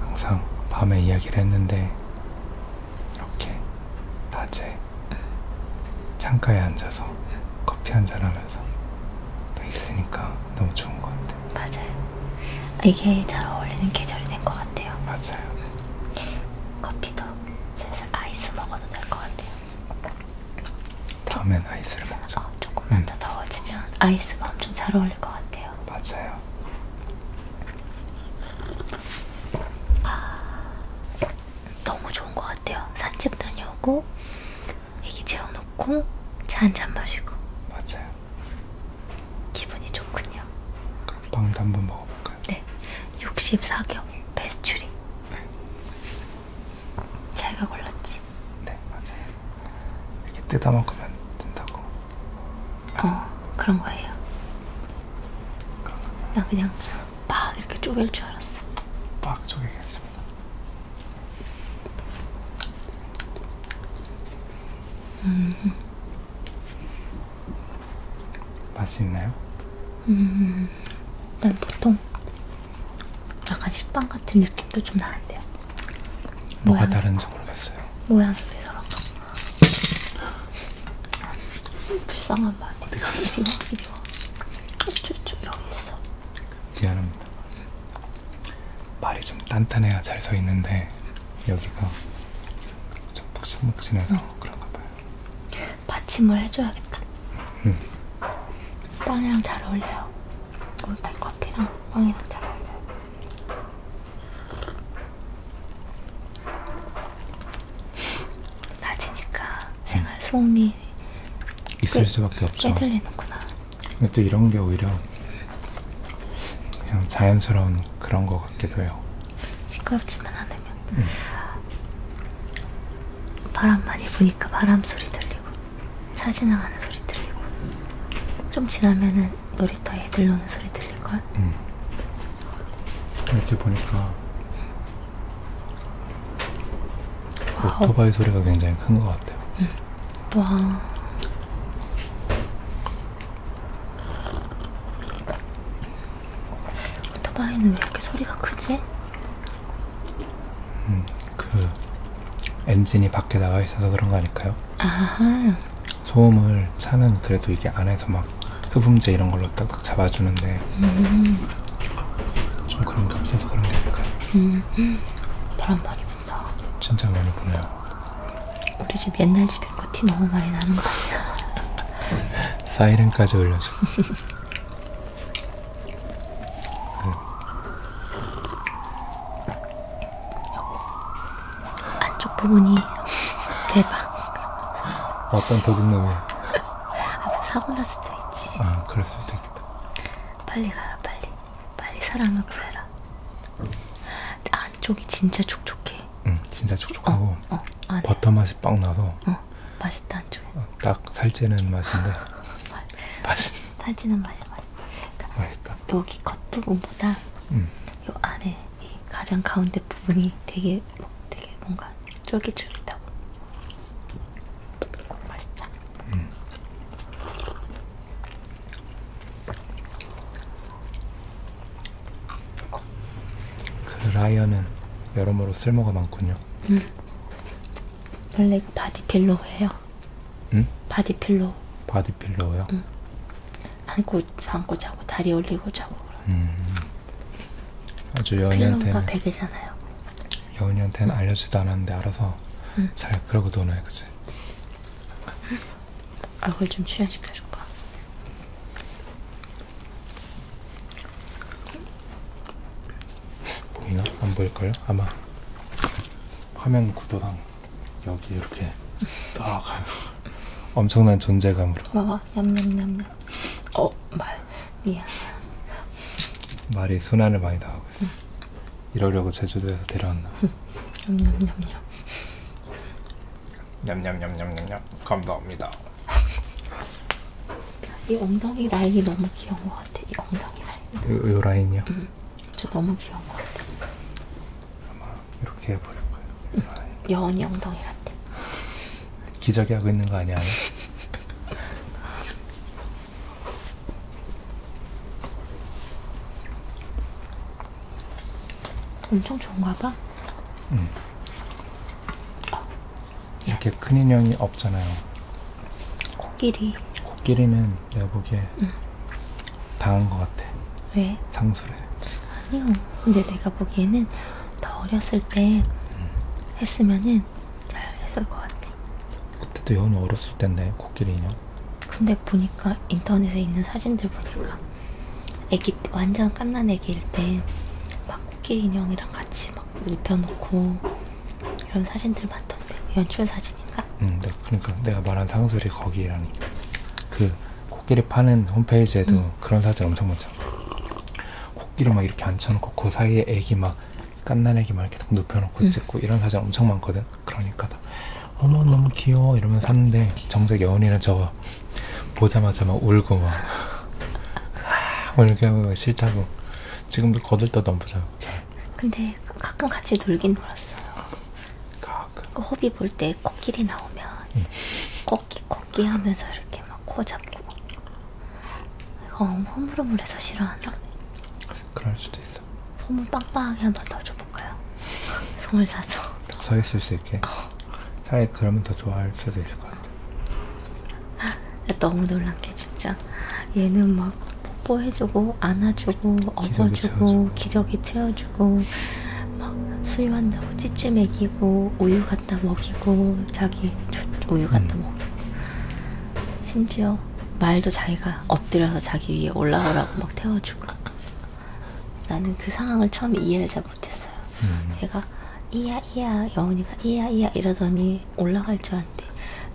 항상 밤에 이야기를 했는데 이렇게 낮에 창가에 앉아서 커피 한잔 하면서 또 있으니까 너무 좋은 것 같아요. 맞아요. 이게 잘 어울리는 계절이 된 것 같아요. 맞아요. 커피도 슬슬 아이스 먹어도 될 것 같아요. 다음엔 아이스를 먹자. 어, 조금만 음. 더 더워지면 아이스가 엄청 잘 어울릴 것 같아요. 맞아요. 아, 너무 좋은 것 같아요. 산책 다녀오고 애기 재워놓고 차 한잔 마시고. 맞아요. 기분이 좋군요. 그럼 빵도 한번 먹어볼까요? 네. 64경 베스츄리. 네. 자기가 골랐지? 네, 맞아요. 이렇게 뜯어 먹으면 된다고. 어, 그런 거예요. 나 그냥 막 이렇게 쪼갤 줄 알았어. 막 쪼개겠습니다. 음. 맛있나요? 음, 난 보통 약간 식빵 같은 느낌도 좀 나는데요. 뭐가 모양, 다른지 모르겠어요. 모양이 왜저럴까 불쌍한 말. 어디 갔어? 이거, 이거. 쭉쭉 여기 있어. 미안합니다. 말이 좀 단단해야 잘 서 있는데 여기가 좀 푹신푹신해서 응. 그런가 봐요. 받침을 해줘야겠다. 응. 음. 빵이랑 잘 어울려요. 아니, 어, 커피랑 빵이랑 잘 어울려요. 낮이니까 생활 음. 소음이 있을 꽤, 수밖에 없죠. 깨들리는구나. 근데 또 이런 게 오히려 그냥 자연스러운 그런 것 같기도 해요. 시끄럽지만 않으면 음. 바람 많이 부니까 바람 소리 들리고 차 지나가는 소리 들리고 좀 지나면은 놀이터 애들 노는 소리 들릴걸? 음. 이렇게 보니까 와우. 오토바이 소리가 굉장히 큰것 같아요. 음. 와. 오토바이는 왜 이렇게 소리가 크지? 음, 그 엔진이 밖에 나와 있어서 그런 거 아닐까요? 아하. 소음을 차는 그래도 이게 안에서 막 흡음재 이런 걸로 딱딱 잡아주는데 음. 좀 그런 게 없어서 그런 게 아닐까요? 음, 음. 바람 많이 너 진짜 많이 보네요. 우리 집 옛날 집인 거티 그 너무 많이 나는 거 아니야? 사이렌까지 올려줘. 음. 안쪽 부분이 대박. 어떤 도둑놈이 아, 뭐 사고 날 수도 있지. 아 그럴 수도 있겠다. 빨리 가라 빨리. 빨리 사랑을 구해라. 아 안쪽이 진짜 촉촉해. 응, 진짜 촉촉하고 어, 어, 아, 네. 버터 맛이 빵 나서. 어, 맛있다 안쪽에. 어, 딱 살찌는 맛인데. 맛있. 살찌는 맛이 맛있다. 그러니까 맛있다. 여기 겉부분보다 음. 요 안에 가장 가운데 부분이 되게 뭐, 되게 뭔가 쫄깃쫄깃하고 맛있다. 음. 그 라이언은 여러모로 쓸모가 많군요. 응. 원래 이거 바디필로우예요. 응? 바디필로우. 바디필로우요? 응. 안고 안고 자고 다리 올리고 자고 그런. 음. 아주 여은이한테는 베개잖아요. 여은이한테는 알려주지도 않았는데 알아서 응. 잘 그러고 노네, 그치? 얼굴 좀 출연시켜줄까? 보이나? 안 보일까요? 아마 화면 구도랑 여기 이렇게 딱 엄청난 존재감으로 먹어 냠냠냠냠 어 말, 미안 말이 순환을 많이 나고 이러려고 제주도에서 데려왔나. 냠냠냠냠. 냠냠냠냠냠냠. 감사합니다. 이 엉덩이 라인이 너무 귀여운 것 같아. 이 엉덩이 라인. 요, 요 라인이요? 응. 저 너무 귀여운 것 같아. 아마 이렇게 해버릴 거예요. 응. 여원이 엉덩이 같아. 기저귀 하고 있는 거 아니야? 엄청 좋은가 봐. 음. 이렇게 큰 인형이 없잖아요. 코끼리. 코끼리는 내가 보기에 음. 당한 것 같아. 왜? 상술에. 아니요. 근데 내가 보기에는 더 어렸을 때 음. 했으면은 잘 했을 것 같아. 그때도 여운이 어렸을 텐데 코끼리 인형. 근데 보니까 인터넷에 있는 사진들 보니까 애기 완전 깐난 애기일 때 막 코끼리 인형이랑 같이 막 눕혀놓고 이런 사진들 많던데 연출 사진인가? 응, 음, 네. 그러니까 내가 말한 상술이 거기라니 그 코끼리 파는 홈페이지에도 응. 음. 그런 사진 엄청 많잖아. 코끼리 막 이렇게 앉혀놓고 그 사이에 애기 막 깐난 애기 막 이렇게 딱 눕혀놓고 응. 음. 찍고 이런 사진 엄청 많거든. 샀어요. 그러니까 어머 너무 귀여워 이러면서 샀는데 정작 여운이는 저 보자마자 막 울고 막 아, 이렇게 하고 싫다고 지금도 거들떠도 안 보자. 근데 가끔 같이 놀긴 놀았어요. 가끔. 그 호비 볼 때 코끼리 나오면 응. 코끼 코끼 하면서 이렇게 막 코 잡고. 이거 허물허물해서 싫어하나? 그럴 수도 있어. 선물 빵빵하게 한 번 더 줘볼까요? 선물 사서 더 있을 수 있게 어. 차라리 그러면 더 좋아할 수도 있을 것 같아 너무 놀란 게 진짜 얘는 막 뽀뽀해주고 안아주고 업어주고 기저귀 채워주고 막 수유한다고 찌찌 먹이고 우유 갖다 먹이고 자기 우유 음. 갖다 음. 먹이고 심지어 말도 자기가 자기가 엎드려서 자기 위에 올라오라고 막 태워주고 나는 그 상황을 처음에 이해를 잘 못했어요. 음. 얘가 이야 이야 여운이가 이야 이야 이러더니 올라갈 줄 알았는데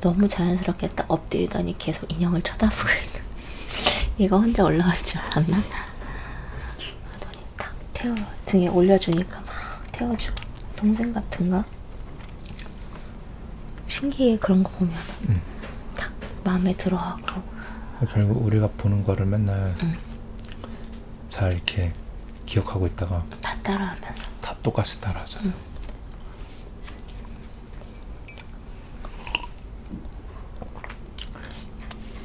너무 자연스럽게 딱 엎드리더니 계속 인형을 쳐다보고 있는 얘가 혼자 올라갈 줄 알았나? 하더니 탁 태워 등에 올려주니까 막 태워주고 동생 같은가? 신기해 그런 거 보면 응. 딱 마음에 들어하고 결국 우리가 보는 거를 맨날 응. 잘 이렇게 기억하고 있다가 다 따라하면서 다 똑같이 따라하잖아 응.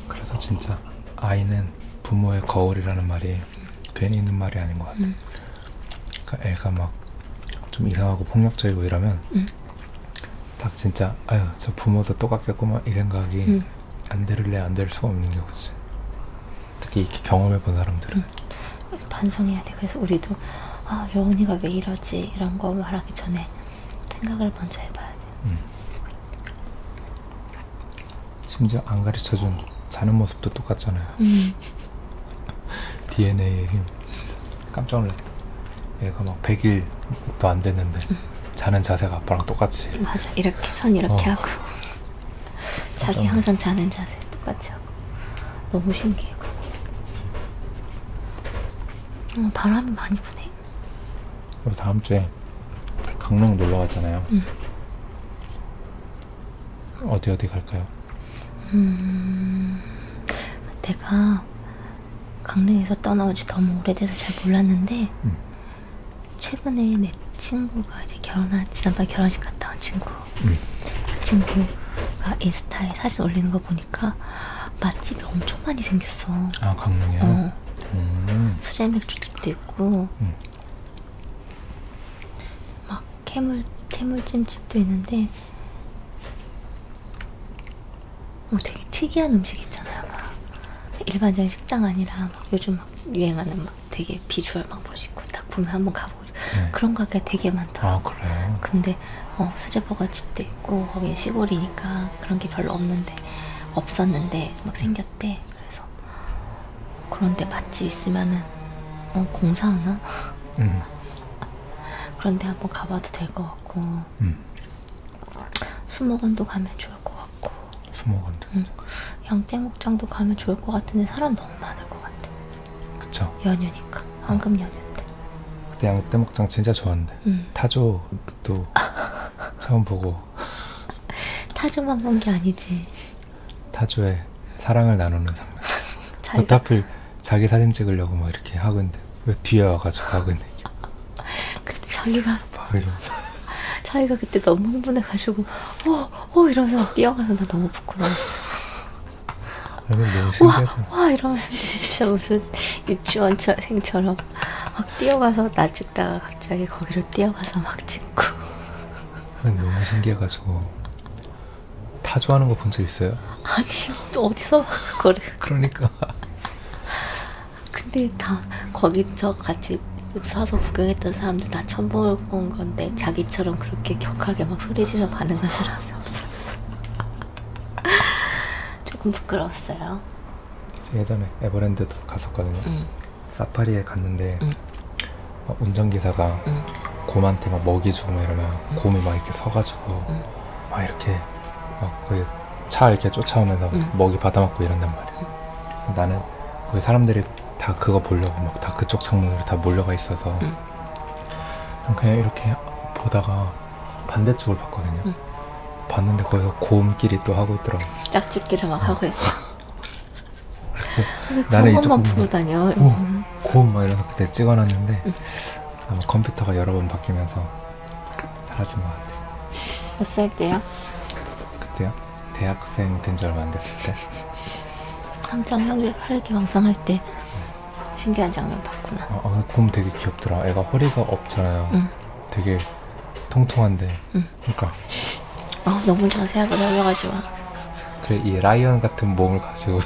그래서 진짜 아이는 부모의 거울이라는 말이 괜히 있는 말이 아닌 것 같아 그러니까 애가 막 좀 이상하고 폭력적이고 이러면 응. 딱 진짜 아유 저 부모도 똑같겠구만 이 생각이 응. 안 들을래 안될 수가 없는 게 그치 특히 이렇게 경험해 본 사람들은 응. 반성해야 돼 그래서 우리도 아 여운이가 왜 이러지 이런 거 말하기 전에 생각을 먼저 해봐야 돼 응. 심지어 안 가르쳐준 자는 모습도 똑같잖아요 DNA의 힘 진짜 깜짝 놀래. 얘가 예, 막 100일도 안 됐는데 자는 자세가 아빠랑 똑같이. 맞아. 이렇게 손 이렇게 어. 하고 자기 항상 자는 자세 똑같이 하고 너무 신기해. 어, 바람이 많이 부네. 그리고 다음 주에 강릉 놀러 갔잖아요. 응. 어디 어디 갈까요? 음, 내가 강릉에서 떠나온 지 너무 오래돼서 잘 몰랐는데 음. 최근에 내 친구가 이제 결혼한 지난번 결혼식 갔다 온 친구 음. 그 친구가 인스타에 사진 올리는 거 보니까 맛집이 엄청 많이 생겼어. 아 강릉이요? 어. 음. 수제 맥주집도 있고 음. 막 캐물 채물찜집도 있는데 뭐 되게 특이한 음식 있잖아요. 막 일반적인 식당 아니라 막 요즘 막 유행하는 막 되게 비주얼 막 멋있고 딱 보면 한번 가보고 네. 그런 가게 되게 많더라고요. 아, 그래요? 근데 어, 수제버거 집도 있고 거기 시골이니까 그런 게 별로 없는데 없었는데 막 생겼대. 그래서 그런데 맛집 있으면은 어, 공사하나? 음. 그런데 한번 가봐도 될 것 같고 음. 수목원도 가면 좋을 것 같고 수목원도 응. 음. 양떼목장도 가면 좋을 것 같은데 사람 너무 많을 것 같아 그쵸 연휴니까 황금 연휴 때 그때 양떼목장 진짜 좋았는데 응. 음. 타조도 처음 보고 타조만 본 게 아니지 타조의 사랑을 나누는 장면. 자기가... 하필 자기 사진 찍으려고 막 뭐 이렇게 하고 있는데 왜 뒤에 와가지고 하고 있는 근데 자기가 자기가 그때 너무 흥분해가지고 오오 어, 오! 어, 이러면서 뛰어가서 나 너무 부끄러웠어. 와, 와 이러면서 진짜 무슨 유치원생처럼 막 뛰어가서 나 찍다가 갑자기 거기로 뛰어가서 막 찍고 너무 신기해가지고 타조하는 거 본 적 있어요? 아니요. 또 어디서 그걸? 그러니까. 근데 다 거기서 같이 사서 구경했던 사람들 다 처음 본 건데 자기처럼 그렇게 격하게 막 소리지르 반응한 사람이 없었어. 조금 부끄러웠어요. 예전에 에버랜드도 갔었거든요. 응. 사파리에 갔는데 응. 운전기사가 응. 곰한테 막 먹이 주고 막 이러면 응. 곰이 막 이렇게 서가지고 응. 막 이렇게 막 거기 차 이렇게 쫓아오면서 먹이 받아먹고 이런단 말이야. 나는 거기 사람들이 다 그거 보려고 막 다 그쪽 창문으로 다 몰려가 있어서 그냥 이렇게 보다가 반대쪽을 봤거든요. 봤는데 거기서 곰끼리 또 하고 있더라고. 짝짓기를 막 어. 하고 있어. 나는 이쪽 부분 다녀. 오, 고음 막 이러면서 그때 찍어놨는데 음. 아마 컴퓨터가 여러 번 바뀌면서 사라진 것 같아. 몇 살 때요? 그때요? 대학생 된 지 얼마 안 됐을 때. 한창 혈기, 혈기 왕성할 때 신기한 장면 봤구나. 아, 아, 곰 되게 귀엽더라. 애가 허리가 없잖아요. 응. 되게 통통한데. 응. 그러니까. 아 너무 자세하게 날려가지 마. 그래 이 라이언 같은 몸을 가지고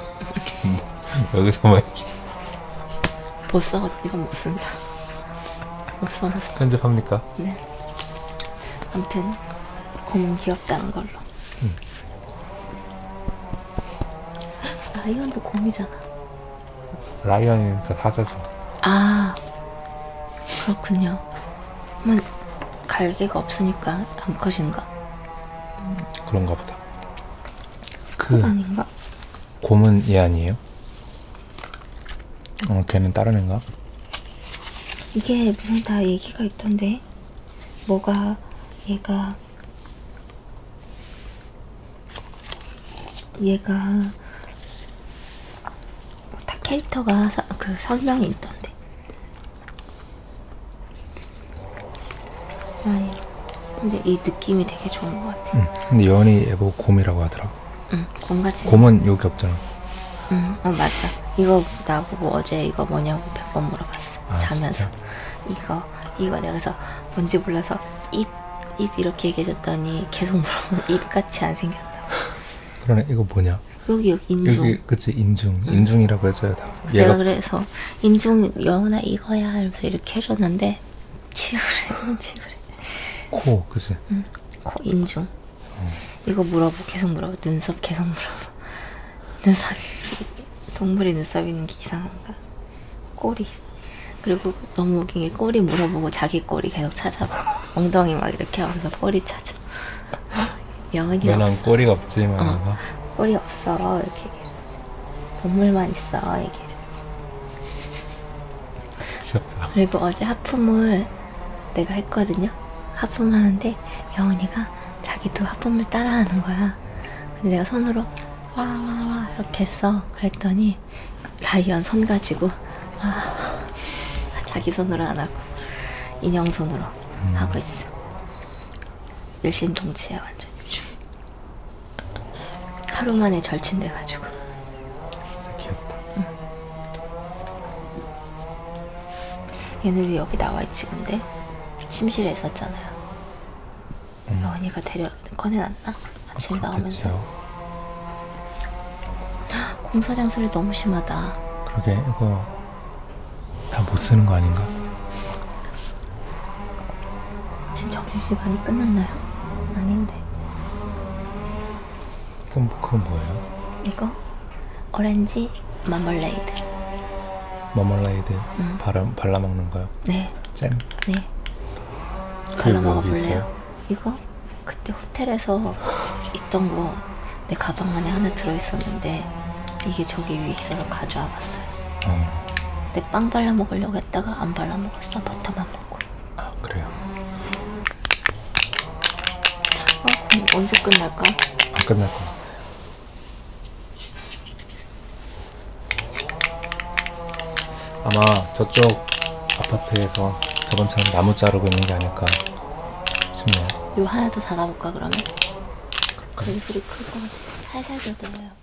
뭐, 여기서 막못 써, 이건 못 쓴다. 못 써, 못 써. 편집합니까? 네. 아무튼 공은 귀엽다는 걸로. 음. 라이언도 곰이잖아. 라이언이니까 그러니까 사자죠. 아 그렇군요. 만 갈기가 없으니까 암컷인가? 그런가 보다. 그 아닌가? 곰은 얘 아니에요? 어, 걔는 다른 애인가? 이게 무슨 다 얘기가 있던데 뭐가 얘가 얘가 다 캐릭터가 사, 그 설명이 있던데 아니, 근데 이 느낌이 되게 좋은 것 같아. 응. 근데 연이 에버 곰이라고 하더라고. 응, 곰같이. 곰은 여기 없잖아. 응, 어, 맞아. 이거 나보고 어제 이거 뭐냐고 100번 물어봤어. 아, 자면서. 진짜? 이거, 이거 내가 그래서 뭔지 몰라서 입, 입 이렇게 얘기해줬더니 계속 물어보면 입같이 안 생겼다고. 그러네, 이거 뭐냐? 여기 여기 인중. 여기 그치 인중. 응. 인중이라고 해줘야 돼. 내가 그래서 인중 여우나 이거야 이러면서 이렇게 해줬는데 치우래 치우래. 코 그치. 응. 코 인중. 어. 이거 물어보 계속 물어보 눈썹 계속 물어보 눈썹 동물의 눈썹 있는 게 이상한가? 꼬리. 그리고 너무 웃긴 게 꼬리 물어보고 자기 꼬리 계속 찾아봐. 엉덩이 막 이렇게 하면서 꼬리 찾아. 영은이 없어. 꼬리가 없지, 만화가. 어, 꼬리 없어. 이렇게 얘기해. 눈물만 있어. 얘기해. 귀엽다. 그리고 어제 하품을 내가 했거든요. 하품하는데 영은이가 자기도 하품을 따라하는 거야. 근데 내가 손으로 와와와 이렇게 했어. 그랬더니 라이언 손 가지고 아, 자기 손으로 안 하고 인형 손으로 음. 하고 있어. 일신동체야 완전 요즘. 하루 만에 절친돼가지고. 귀엽다. 응. 얘는 왜 여기 나와있지 근데? 침실에 있었잖아요. 음. 언니가 데려 꺼내놨나? 아침에 어, 나오면서. 공사장 소리 너무 심하다. 그러게 이거 다못 쓰는 거 아닌가? 지금 점심시간이 끝났나요? 아닌데. 그럼 뭐, 그건 뭐예요? 이거? 오렌지 마멀레이드. 마멀레이드 응. 음. 발라, 발라 먹는 거요? 네. 잼? 네. 그게 발라 먹어볼래요? 있어요? 이거? 그때 호텔에서 있던 거내 가방 안에 하나 들어있었는데 이게 저기 위에 있어서 가져와 봤어요. 어. 근데 빵 발라 먹으려고 했다가 안 발라 먹었어. 버터만 먹고. 아 그래요? 아 그럼 언제 끝날까? 안 끝날 거야. 아마 저쪽 아파트에서 저번처럼 나무 자르고 있는 게 아닐까 좋네요. 요 하나 더 닫아볼까 그러면? 그기 불이 클것 같아. 살살 닫아요.